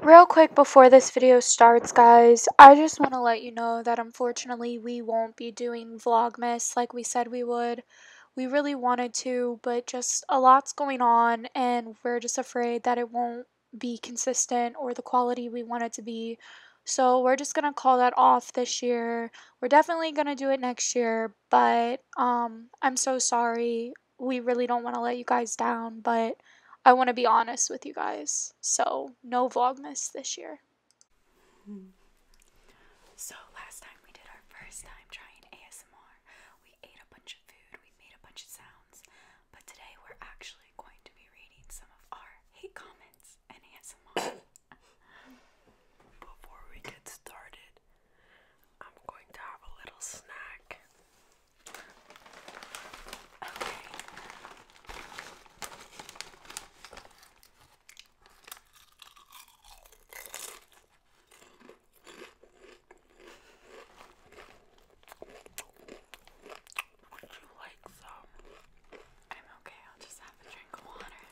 Real quick before this video starts, guys, I just want to let you know that unfortunately we won't be doing Vlogmas like we said we would. We really wanted to, but just a lot's going on, and we're just afraid that it won't be consistent or the quality we want it to be. So we're just gonna call that off this year. We're definitely gonna do it next year, but um, I'm so sorry. We really don't want to let you guys down, but I want to be honest with you guys. So, no Vlogmas this year. Hmm. So, last time we did our first time trying ASMR, we ate a bunch of food, we made a bunch of sounds, but today we're actually going to be reading some of our hate comments and ASMR. Before we get started, I'm going to have a little snack. Okay. Would you like some? I'm okay, I'll just have a drink of water.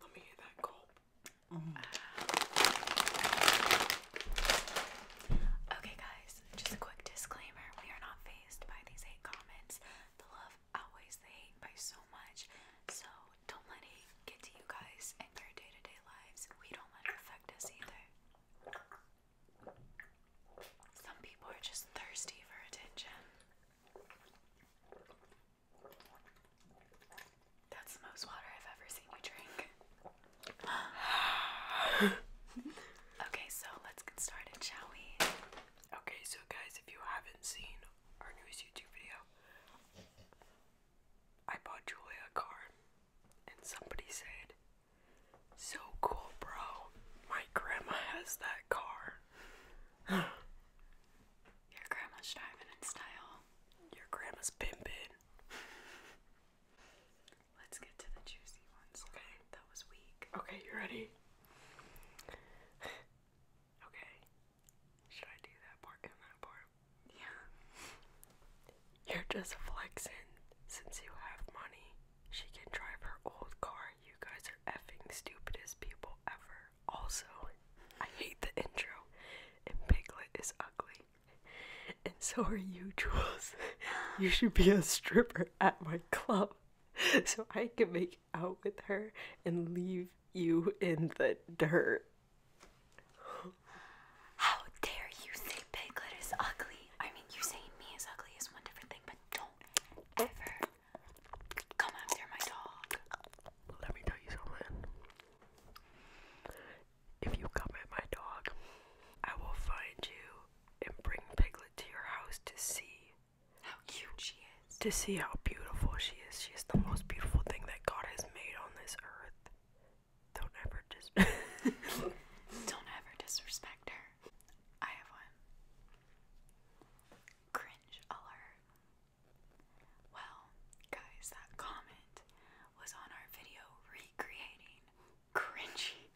Let me hear that gulp. Mm. Uh, okay, guys, just a quick disclaimer we are not phased by these hate comments. The love outweighs the hate by so much, so don't let hate get to you guys in your day to day lives. We don't let it affect us either. Some people are just thirsty for attention. That's the most water I've ever seen you drink. okay, so let's get started, shall we? Okay, so guys, if you haven't seen our newest YouTube video, I bought Julia a car, and somebody said, So cool, bro. My grandma has that car. Your grandma's driving in style. Your grandma's pimpin'. Let's get to the juicy ones. Okay. That was weak. Okay, you ready? okay. Should I do that part and that part? Yeah. You're just flexin'. Since you have money, she can drive her old car. You guys are effing stupidest people ever. Also, I hate the intro and Piglet is ugly. And so are you, Jules. you should be a stripper at my club so I can make out with her and leave you in the dirt. How dare you say Piglet is ugly? I mean, you saying me is ugly is one different thing, but don't ever come after my dog. Let me tell you something. If you come my dog, I will find you and bring Piglet to your house to see how cute she is. To see how beautiful she is. She is the most beautiful thing that God has made on this earth. Don't ever dis Don't ever disrespect her. I have one. Cringe alert. Well, guys, that comment was on our video recreating cringy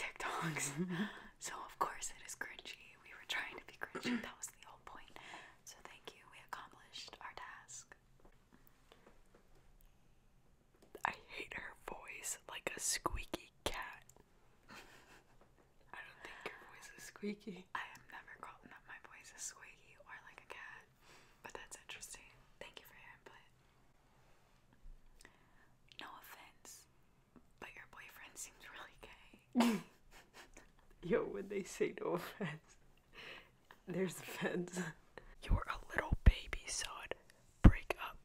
TikToks. so, of course, it is cringy. We were trying to be cringy, that was the whole point. So, thank you, we accomplished our task. I hate her voice like a squeaky cat. I don't think your voice is squeaky. I have never gotten that my voice is squeaky or like a cat. But that's interesting. Thank you for your input. No offense, but your boyfriend seems really gay. Yo, when they say no offense, there's offense. You're a little baby, son. Break up.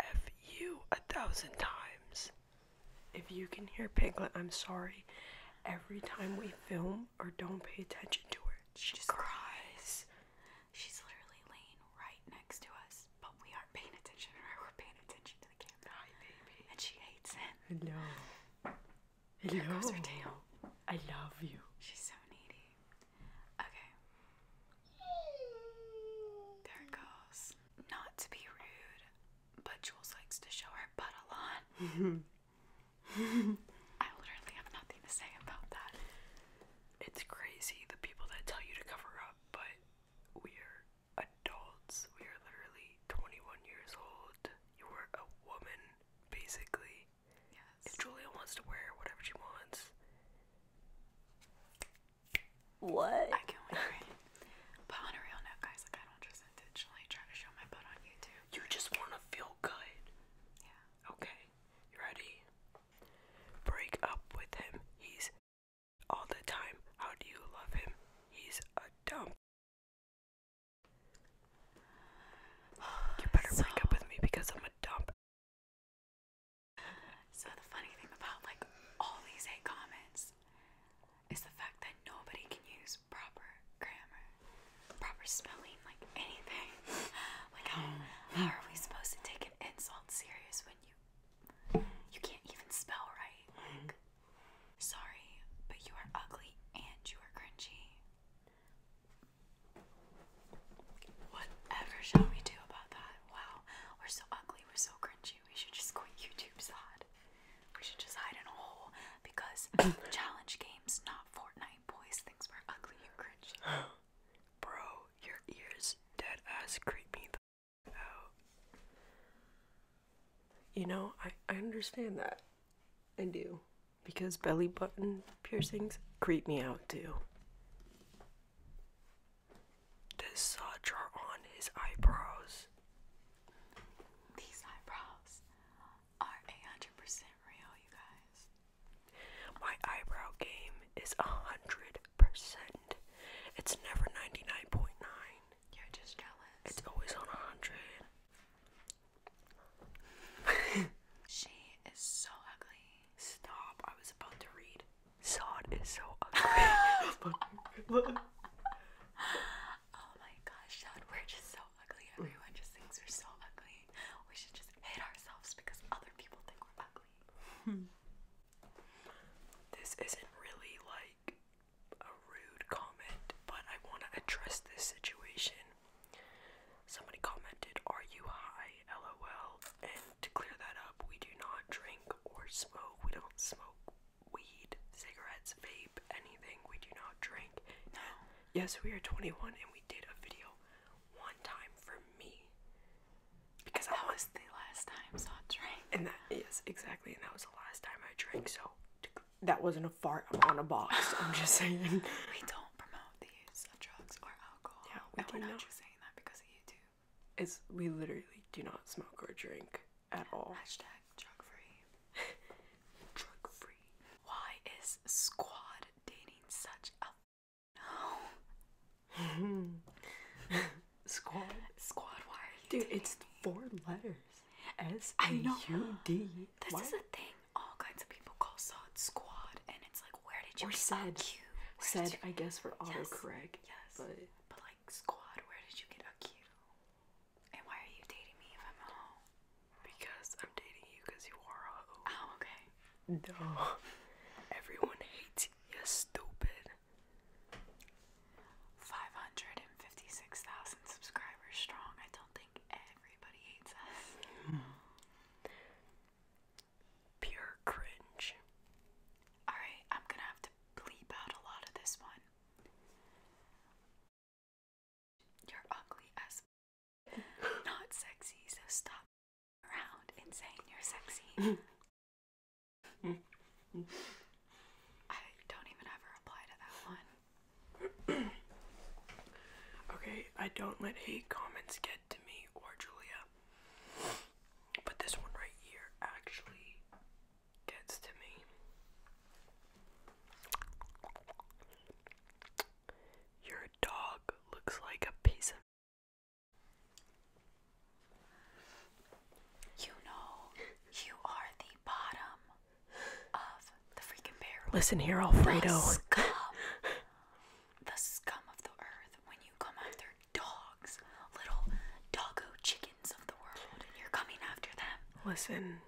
F you a thousand times. If you can hear Piglet, I'm sorry. Every time we film, or don't pay attention to her. She, just cries. She's literally laying right next to us, but we aren't paying attention to her. We're paying attention to the camera. baby. And she hates it. Hello. Hello. Here goes her tail. I love you. She's so needy. Okay. There goes. Not to be rude, but Jules likes to show her butt a lot. I literally have nothing to say about that. It's crazy the people that tell you to cover up, but we're adults. We are literally 21 years old. You are a woman, basically. Yes. Julia wants to wear whatever she wants. What? I can't wait. but on a real note, guys, like I don't just intentionally try to show my butt on YouTube. You just want to feel good. Yeah. Okay. ready? Break up with him. He's all the time. How do you love him? He's a dump. You better break up with me because I'm a dump. So the funny thing about like all these hate comments is the fact that nobody can use proper grammar, proper spelling, like anything. like hmm. how, are we supposed to take an insult serious when you you can't even spell right? Hmm. Like, sorry, but you are ugly and you are cringy. Whatever shall we do about that? Wow, we're so ugly, we're so cringy. We should just quit YouTube's Zod. We should just hide in a hole because challenge games, not Fortnite, boys. Things were ugly and cringy. Bro, your ears dead ass creep me out. You know, I, I understand that. I do. Because belly button piercings creep me out too. Does saw on his eyebrows? These eyebrows are a hundred percent real, you guys. My eyebrow game is a hundred percent. It's never ninety nine point nine. You're just jealous. It's always on a hundred. she is so ugly. Stop! I was about to read. Sod is so ugly. Oh my gosh, Dad, we're just so ugly. Everyone just thinks we're so ugly. We should just hate ourselves because other people think we're ugly. Hmm. this isn't really like a rude comment, but I want to address this situation. Somebody commented, Are you high? LOL. And to clear that up, we do not drink or smoke. We don't smoke weed, cigarettes, vape, anything. We do not drink. No. Yes, we are 21 and we did a video one time for me. Because that was the last time so I drank. And that yes, exactly, and that was the last time I drank, so that wasn't a fart on a box. I'm just saying. We don't promote the use of drugs or alcohol. Yeah, we do not, just saying that because of YouTube. It's we literally do not smoke or drink at all. Hashtag drug free. drug free. Why is Squad dating such a no? Squad. Squad. Why Dude, it's four letters. S A U D. This is a thing. All kinds of people call Squad Squad, and it's like, where did you? Or said. You? Said, I guess, for autocorrect. yes. But... but like Squad, where did you get a Q? And why are you dating me if I'm a hoe? Because I'm dating you because you are a hoe. Oh, okay. No. Everyone hates you, stupid. 556,000 subscribers strong. I don't think everybody hates us. Pure cringe. Alright, I'm gonna have to bleep out a lot of this one. You're ugly as not sexy, so stop around and saying you're sexy. Mm. I don't even ever reply to that one. okay, I don't let hate comments get to me or Julia. But this one right here actually gets to me. Your dog looks like a piece of. You know, you are the bottom of the freaking barrel. Listen here, Alfredo. The scum, the scum of the earth. When you come after dogs, little doggo chickens of the world, you're coming after them. Listen,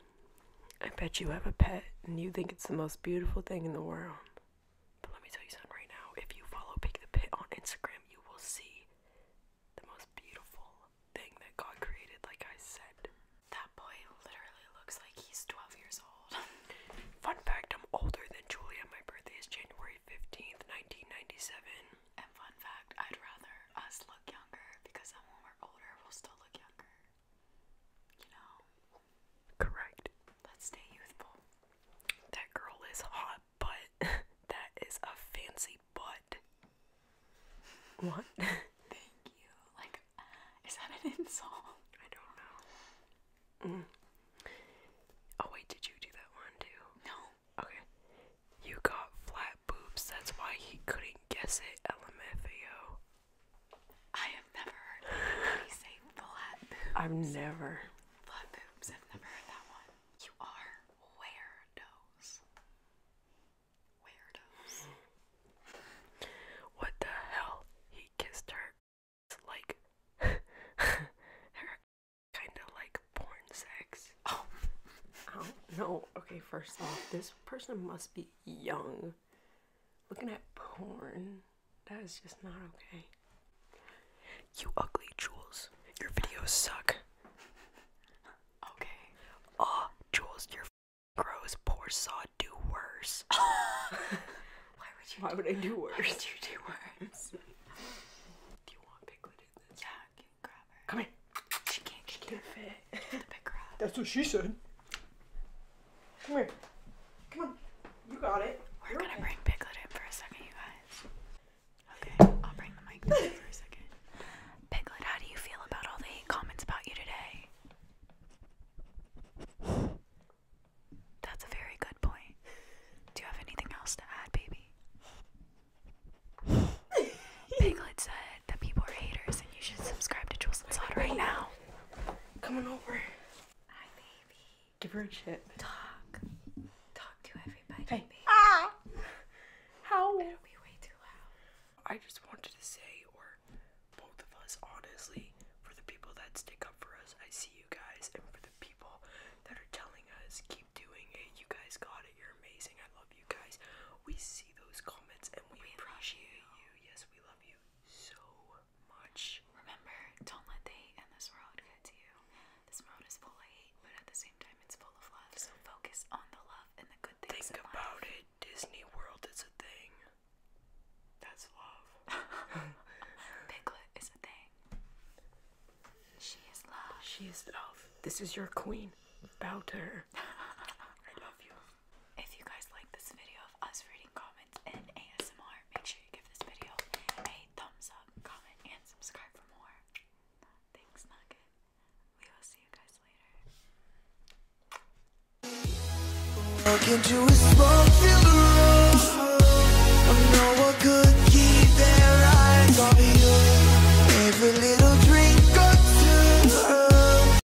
I bet you have a pet and you think it's the most beautiful thing in the world. But let me tell you something right now. If you follow Pick the Pit on Instagram, you will see the most beautiful thing that God created, like I said. That boy literally looks like he's 12 years old. Fun fact I'm older than Julia. My birthday is January 15th, 1997. And fun fact I'd rather us look younger because then when we're older, we'll still look younger. Correct. Let's stay youthful. That girl is hot, but that is a fancy butt. What? Thank you. Like, is that an insult? I don't know. Mm. Oh, wait, did you do that one too? No. Okay. You got flat boobs, that's why he couldn't guess it, LMFAO. I have never heard anybody say flat boobs. I've never. Flat boobs. I've never heard that one. You are weirdos. Weirdos. What the hell? He kissed her. It's like her kind of like porn sex. Oh. I oh, don't know. Okay, first off, this person must be young looking at porn. That is just not okay. You ugly Jules. Your videos suck. Okay. Aw, oh, Jules, you're gross. Poor Saw, do worse. Why would I do worse? Why would you do worse? do you want Piglet Yeah, can grab her. Come here. She can't. She can't fit. That's what she said. Come here. Come on. You got it. We're gonna bring Piglet in for a second, you guys. Okay, I'll bring the mic back for a second. Piglet, how do you feel about all the hate comments about you today? That's a very good point. Do you have anything else to add, baby? Piglet said that people are haters and you should subscribe to Jules and Slot right now. Come on over. Hi, baby. Give her a chip. Talk. Talk to everybody, hey. baby. Ah! How? It'll be way too loud. I just wanted to say, or both of us, honestly, for the people that stick up for us, I see you guys, and for the people that are telling us, keep doing it. You guys got it. You're amazing. I love you guys. We see those comments, and we, appreciate you. Yes, we love you so much. Remember, don't let the hate in this world get to you. This world is full of hate, but at the same time, it's full of love. So focus on the love and the good things. Think about it. Disney World is a thing. That's love. Piglet is a thing. She is love. She is love. This is your queen. Bow to her. I love you if you guys like this video of us reading comments and ASMR, make sure you give this video a thumbs up, comment, and subscribe for more. Thanks, Nugget. We will see you guys later.